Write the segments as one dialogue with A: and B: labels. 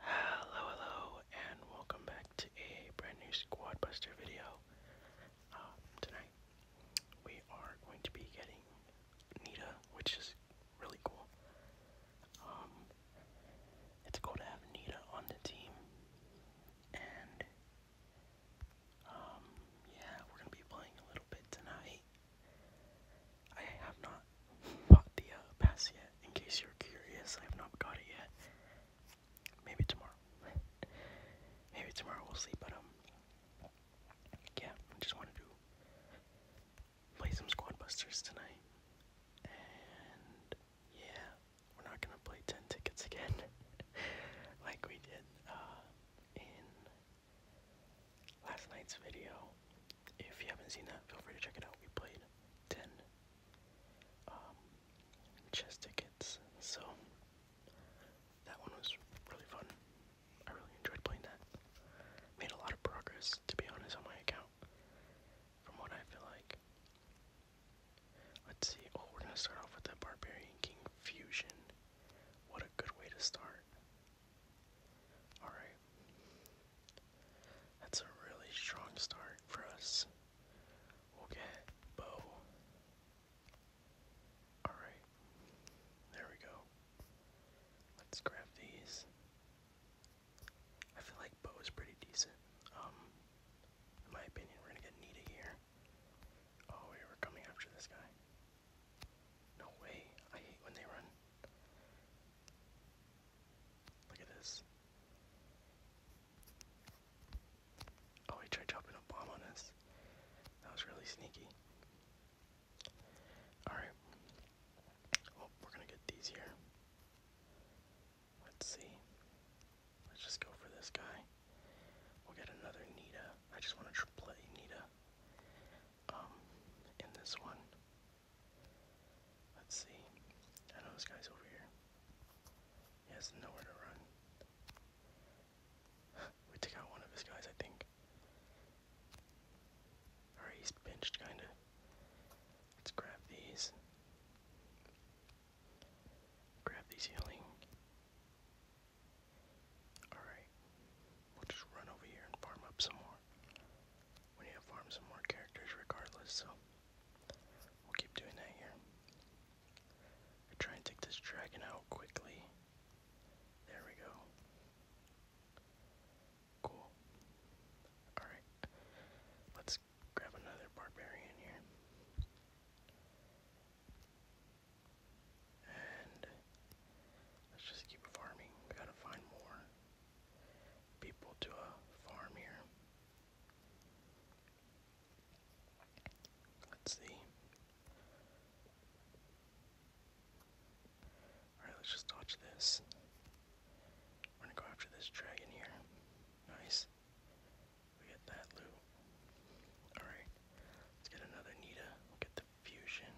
A: Hello, hello, and welcome back to a brand new Squad Buster video. Um, tonight, we are going to be getting Nita, which is really cool. Um, it's cool to have Nita on the team, and um, yeah, we're gonna be playing a little bit tonight. I have not bought the uh, pass yet. In case you're curious, I have not got it yet. Maybe tomorrow. Maybe tomorrow we'll see. But um, yeah, I just wanted to play some Squad Busters tonight. And yeah, we're not gonna play ten tickets again, like we did uh, in last night's video if you haven't seen that, feel free to check it out. We played 10 um, chess tickets, so that one was really fun. I really enjoyed playing that. Made a lot of progress, to be honest, on my account, from what I feel like. Let's see. Oh, we're gonna start off with that Barbarian King fusion. What a good way to start. Alright. That's a really strong start for us. We'll Alright. There we go. Let's grab these. I feel like bow is pretty decent. Um in my opinion, we're gonna get Nita here. Oh we're coming after this guy. No way. I hate when they run. Look at this. Oh, he tried dropping a bomb on us. That was really sneaky. Alright. Well, we're gonna get these here. Let's see. Let's just go for this guy. We'll get another Nita. I just want to play Nita. Um, in this one. Let's see. I know this guy's over here. He has nowhere to run. we took out one of his guys, I think. Alright, he's pinched, kinda. Let's grab these. Grab these healing. Alright. We'll just run over here and farm up some more more. We need to farm some more characters regardless, so we'll keep doing that here. try and take this dragon out quickly. There we go. Cool. Alright. Let's grab another barbarian here. And Let's just keep farming. We gotta find more people to uh, farm here. Let's see. Alright, let's just dodge this. We're gonna go after this dragon here. Nice. We get that loot. Alright. Let's get another Nita. get the fusion.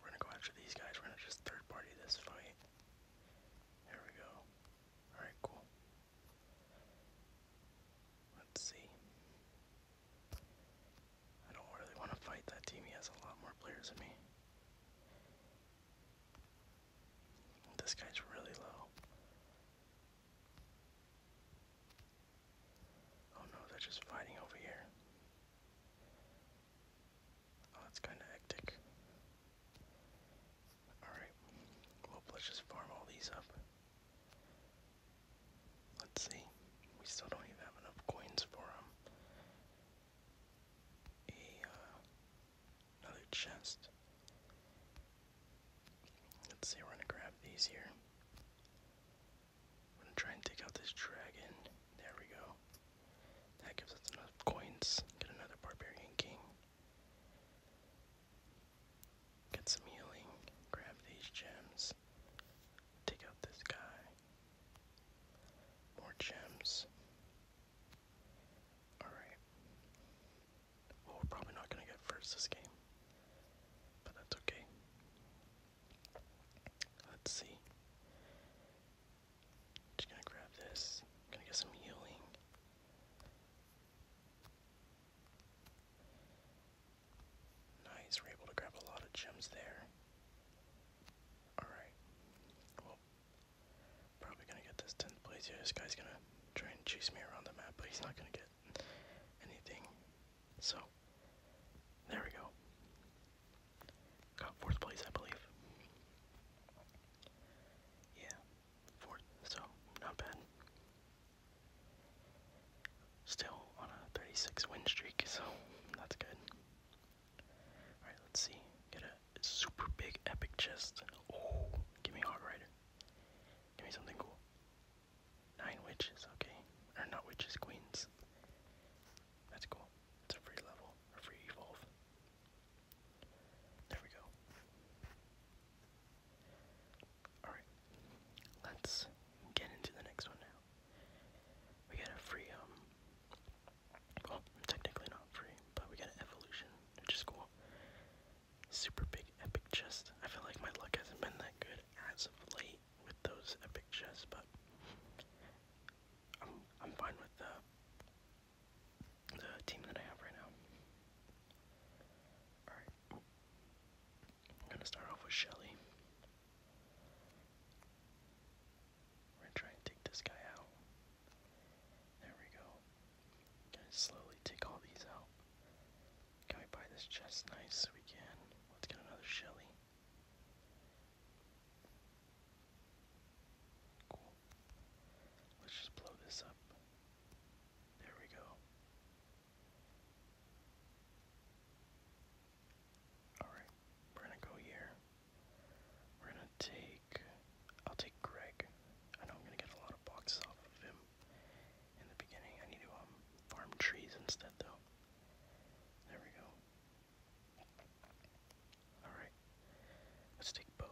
A: We're gonna go after these guys. We're gonna just third party this fight. There we go. Alright, cool. Let's see. I don't really want to fight that team. He has a lot more players than me. This guy's really low. Oh no, they're just fighting over here. Oh, that's kind of hectic. Alright, well, let's just farm all these up. Let's see. We still don't even have enough coins for a uh, another chest. Let's see. We're gonna grab these here. I'm gonna try and take out this dragon. There we go. That gives us enough coins. Get another barbarian king. Get some healing. Grab these gems. Take out this guy. More gems. Alright. Well, we're probably not gonna get first this game. But that's okay. Let's see. Just gonna grab this. Gonna get some healing. Nice, we're able to grab a lot of gems there. Alright. Well, probably gonna get this 10th place. Yeah, this guy's gonna try and chase me around the map, but he's not gonna get anything. So, there we go. Got fourth place, I believe. Yeah, fourth, so not bad. Still on a 36 win streak, so that's good. Alright, let's see. Get a super big epic chest. Oh, give me Hog Rider. Give me something cool. Nine witches, okay. Or uh, not witches, queens. That's cool. It's a free level, a free evolve. There we go. Alright. Let's get into the next one now. We got a free, um well, technically not free, but we got an evolution, which is cool. Super big epic chest. I feel like my luck hasn't been that good as of late with those epic chests, but I'm I'm fine with the the team that I have right now. All right, I'm gonna start off with Shelly. We're gonna try and take this guy out. There we go. Gonna slowly take all these out. Can we buy this chest? Nice, we can. Let's get another Shelly. Cool. Let's just blow this up. There we go. Alright, we're gonna go here. We're gonna take. I'll take Greg. I know I'm gonna get a lot of boxes off of him in the beginning. I need to um, farm trees instead, though. There we go. Alright. Let's take Bo.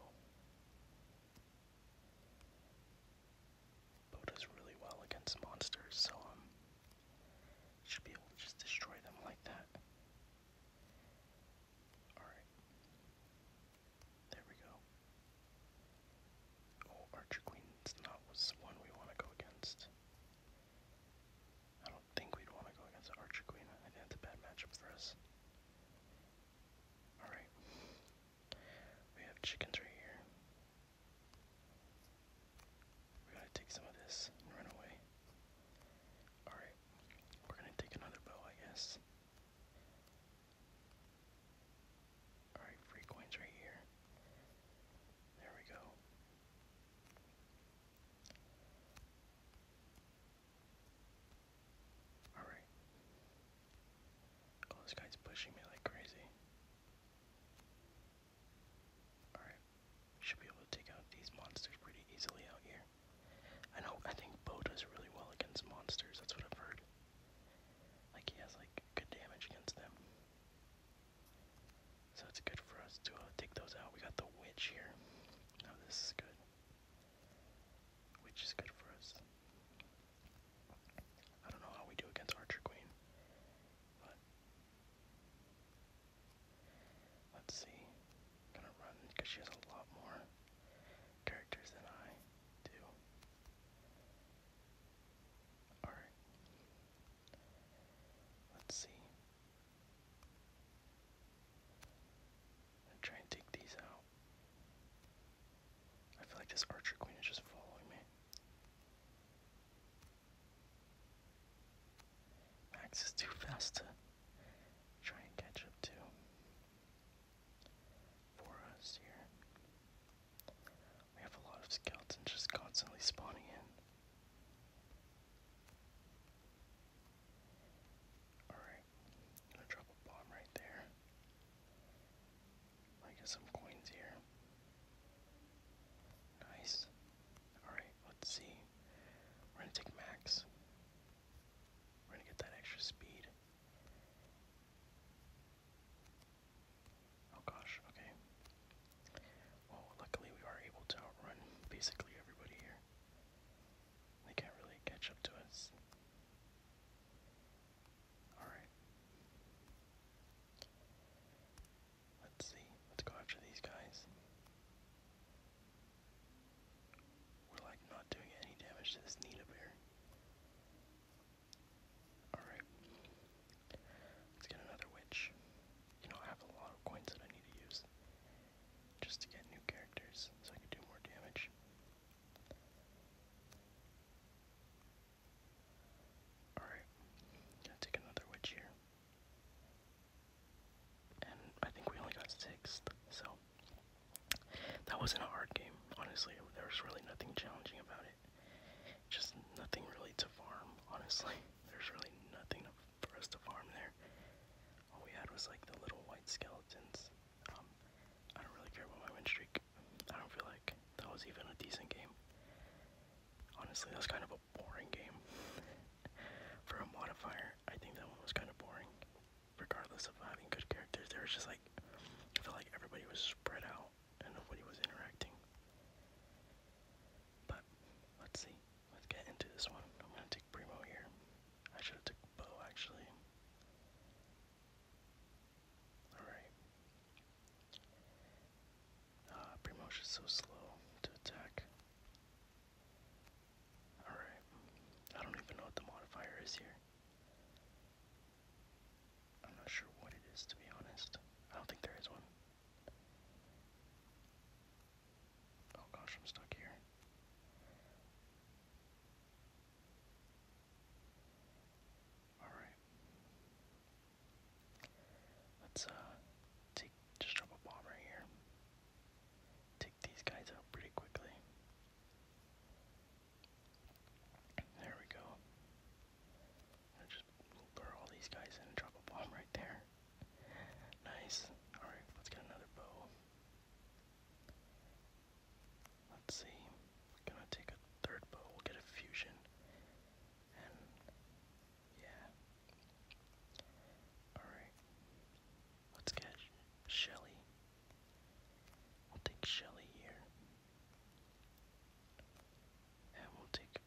A: Bo does really well against monsters, so, um, should be able to just destroy them like that. Alright. There we go. Oh, Archer Queen's not was one we want to go against. I don't think we'd want to go against Archer Queen. I think that's a bad matchup for us. Alright. We have chickens right here. We gotta take some of this and run away. Alright. We're gonna take another bow, I guess. Alright, free coins right here. There we go. Alright. Oh, this guy's pushing me like crazy. Alright. Should be able to take out these monsters pretty easily out here. I know, I think Bo does really well against monsters, that's what I've heard. Like he has like good damage against them. So it's good for us to uh, take those out. We got the witch here. Now oh, this is good. Which is good for us. I don't know how we do against Archer Queen, but let's see. gonna run because she has a lot more characters than I do. Alright. Let's see. i try and take these out. I feel like this archer queen is just following me. Max is too fast to try and catch up to for us here. We have a lot of skeletons just constantly spawning in. Alright, gonna drop a bomb right there. I get some coins here. Nice. Alright, let's see. We're gonna take max. We're gonna get that extra speed. Oh gosh, okay. Well, luckily we are able to outrun basically everybody here. They can't really catch up to us. Alright. Let's see. Let's go after these guys. We're like not doing any damage to this Nita bear. Alright. Let's get another witch. You know, I have a lot of coins that I need to use just to get new characters so I can do more damage. Alright, gonna take another witch here. And I think we only got sixth, so that wasn't a hard game, honestly. There was really nothing challenging about it. Just nothing really to farm, honestly. There's really nothing for us to farm there. All we had was like the little white skeletons. Um, I don't really care about my win streak. I don't feel like that was even a decent game. Honestly, that was kind of a boring game. for a modifier, I think that one was kind of boring regardless of having good characters, there was just like I felt like everybody was spread out and nobody was interacting. But let's see. Let's get into this one. I'm gonna take Primo here. I should have took Bo actually. Alright. Uh ah, Primo's just so slow to attack. Alright. I don't even know what the modifier is here. I'm not sure what it is, to be honest. I don't think there is one. Oh gosh, I'm stuck here. Alright. Let's, uh, take, just drop a bomb right here. Take these guys out pretty quickly. There we go. just we all these guys in and drop a bomb right there. Nice. Alright, let's get another bow. Let's see. gonna take a third bow. We'll get a fusion. And yeah. Alright. Let's get Shelly. We'll take Shelly here. And we'll take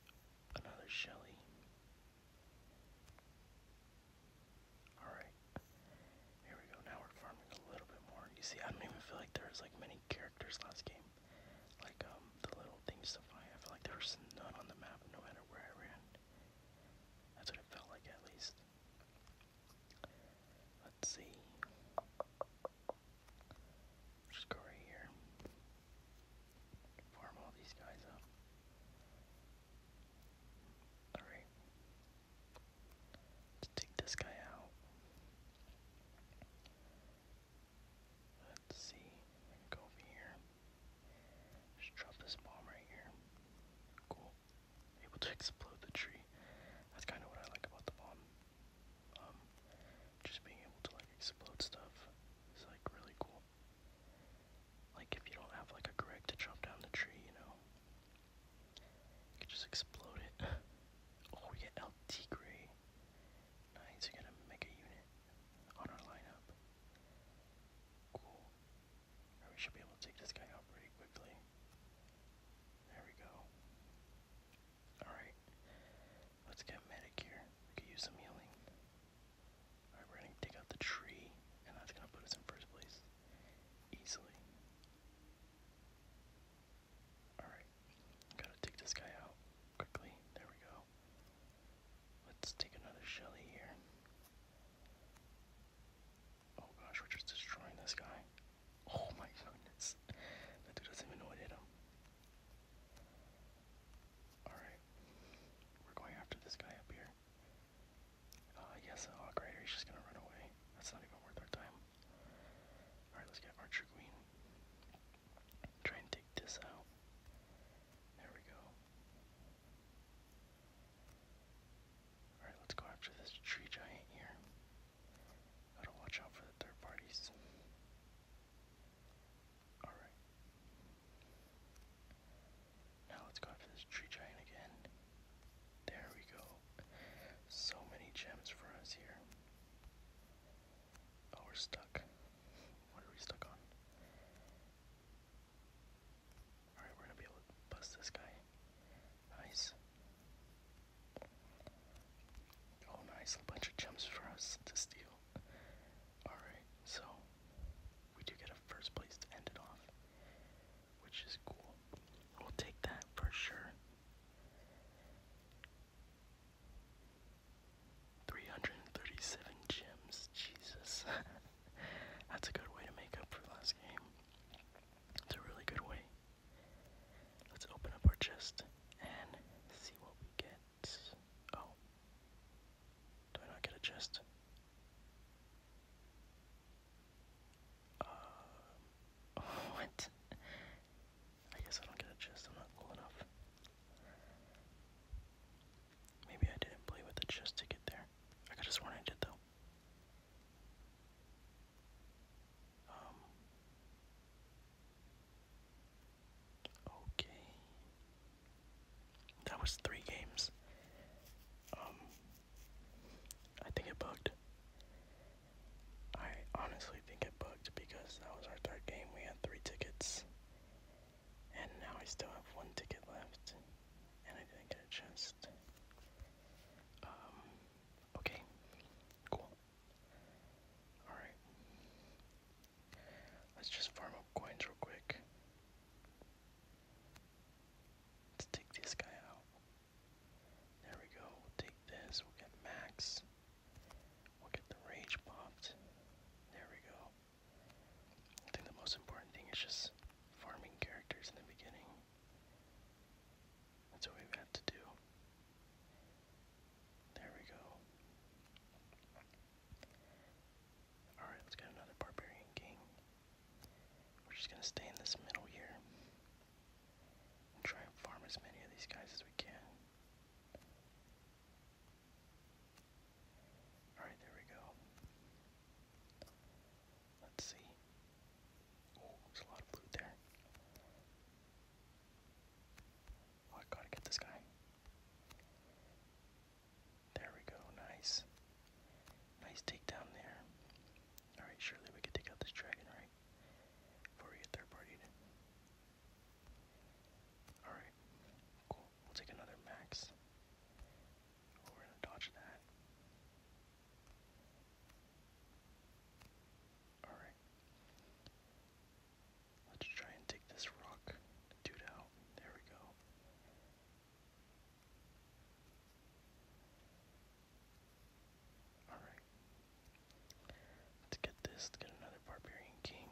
A: another Shelly. Alright. Here we go. Now we're farming a little bit more. You see, I don't even feel like there like many characters last game. Like um the little things to find. I feel like there none on the map no matter where I ran. That's what it felt like at least. Let's see. Just go right here. Farm all these guys up. Alright. Let's take this guy out. Let's see. go over here. Just drop this bomb right here. Cool able to explode the tree. That's kind of what I like about the bomb. Um, just being able to like explode stuff is like really cool. Like if you don't have like a Greg to jump down the tree, you know, you can just explode it. oh, we get LT Gray. Nice, we're gonna make a unit on our lineup. Cool we should be able to take this guy out pretty quickly. There we go. Alright. Let's get medic here. We could use some healing. Alright, we're gonna take out the tree, and that's gonna put us in first place. Easily. Alright. Gotta take this guy out quickly. There we go. Let's take another Shelly here. Oh gosh, we're just destroying this guy. Oh my goodness. That dude doesn't even know it hit him. Alright. We're going after this guy up here. Uh, yes, oh uh, he's just gonna run away. That's not even worth our time. Alright, let's get Archer Queen. Try and take this out. There we go. Alright, let's go after this tree giant here. Gotta watch out for the third parties. Alright. Now let's go after this tree giant again. There we go. So many gems for us here. Oh, we're stuck. What are we stuck on? Alright, we're gonna be able to bust this guy. Nice. Oh, nice. bunch of gems for us to steal. Alright, so we do get a first place to end it off, which is cool. We'll take that for sure. 337 gems, Jesus. That's a good way to make up for last game. It's a really good way. Let's open up our chest and see what we get. Oh. Do I not get a chest? Um, what? I guess I don't get a chest. I'm not cool enough. Maybe I didn't play with the chest to get there. I could have I did though. Um, okay. That was three games. Um. I think it bugged. I honestly think it bugged because that was our third game. We had three tickets. And now I still have one ticket left, and I didn't get a chest. Um, okay, cool. Alright. Let's just farm up coins real quick. Let's take this guy out. There we go, take this, we'll get max. We'll get the rage popped. There we go. I think the most important thing is just farming characters in the beginning. That's what we've had to do. There we go. Alright, let's get another barbarian king. We're just gonna stay in this middle here. And try and farm as many of these guys as we can. Alright, there we go. Let's see. Oh, there's a lot of loot there. Oh, I gotta get this guy. There we go, nice. Nice takedown there. Alright, surely we can take out this dragon, right? Before Alright, cool. We'll take another max. we're gonna dodge that. Alright. Let's try and take this rock dude out. There we go. Alright. Let's get this, get another Barbarian King.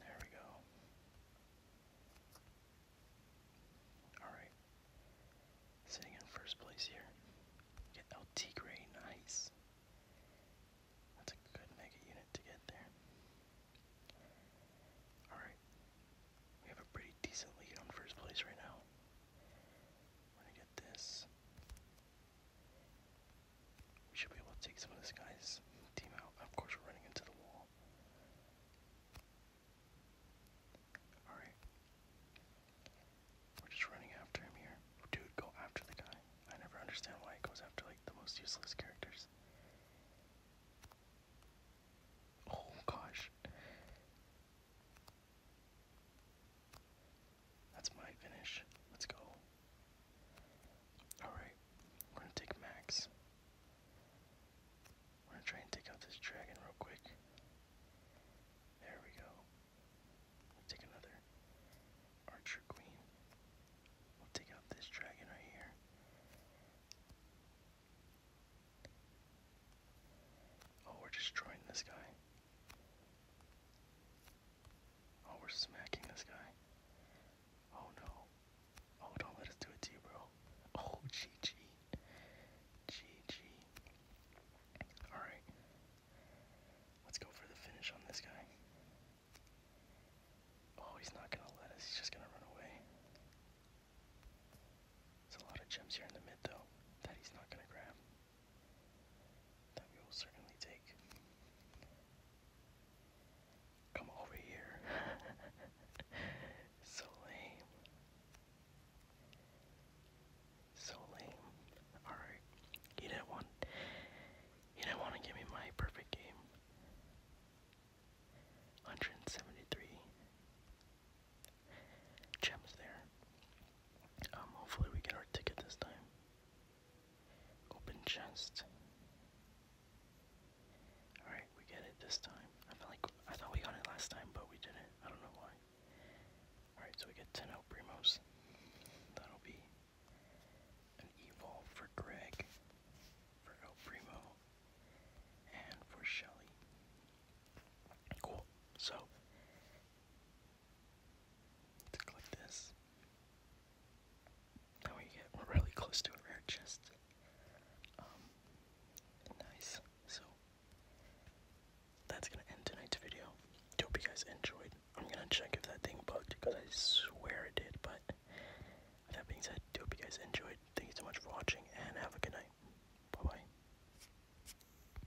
A: There we go. Alright. Sitting in first place here. Get El Tigre, nice. That's a good mega unit to get there. Alright. We have a pretty decent lead on first place right now. gonna get this. We should be able to take some of this guy's team out. Of course, we're running into the wall. Alright. We're just running after him here. Dude, go after the guy. I never understand why he goes after, like, the most useless characters. Oh, gosh. That's my finish. Let's go. Alright, we're gonna take Max. We're gonna try and take out this dragon real quick. There we go. take another Archer Queen. We'll take out this dragon right here. Oh, we're destroying this guy. Oh, we're smacking this guy. Oh no. Oh, don't let us do it to you, bro. Oh, GG. GG. Alright. Let's go for the finish on this guy. Oh, he's not gonna let us. He's just gonna run away. There's a lot of gems here in the mid, though, that he's not gonna grab that we will certainly take. Come over here. so lame. So lame. Alright. He didn't want he didn't want to give me my perfect game. 173 gems there. Um, hopefully we get our ticket this time. Open chest. Alright, we get it this time. I felt like I thought we got it last time, but we didn't. I don't know why. Alright, so we get 10 out primos. That'll be an evolve for Greg, for El and for Shelly. Cool. So Let's click this. Now we get really close to a rare chest. Um, nice. So that's gonna end tonight's video. I hope you guys enjoyed. I'm gonna check if that thing bugged because I swear it did. But that being said, I hope you guys enjoyed. Thank you so much for watching and have a good night. Bye bye.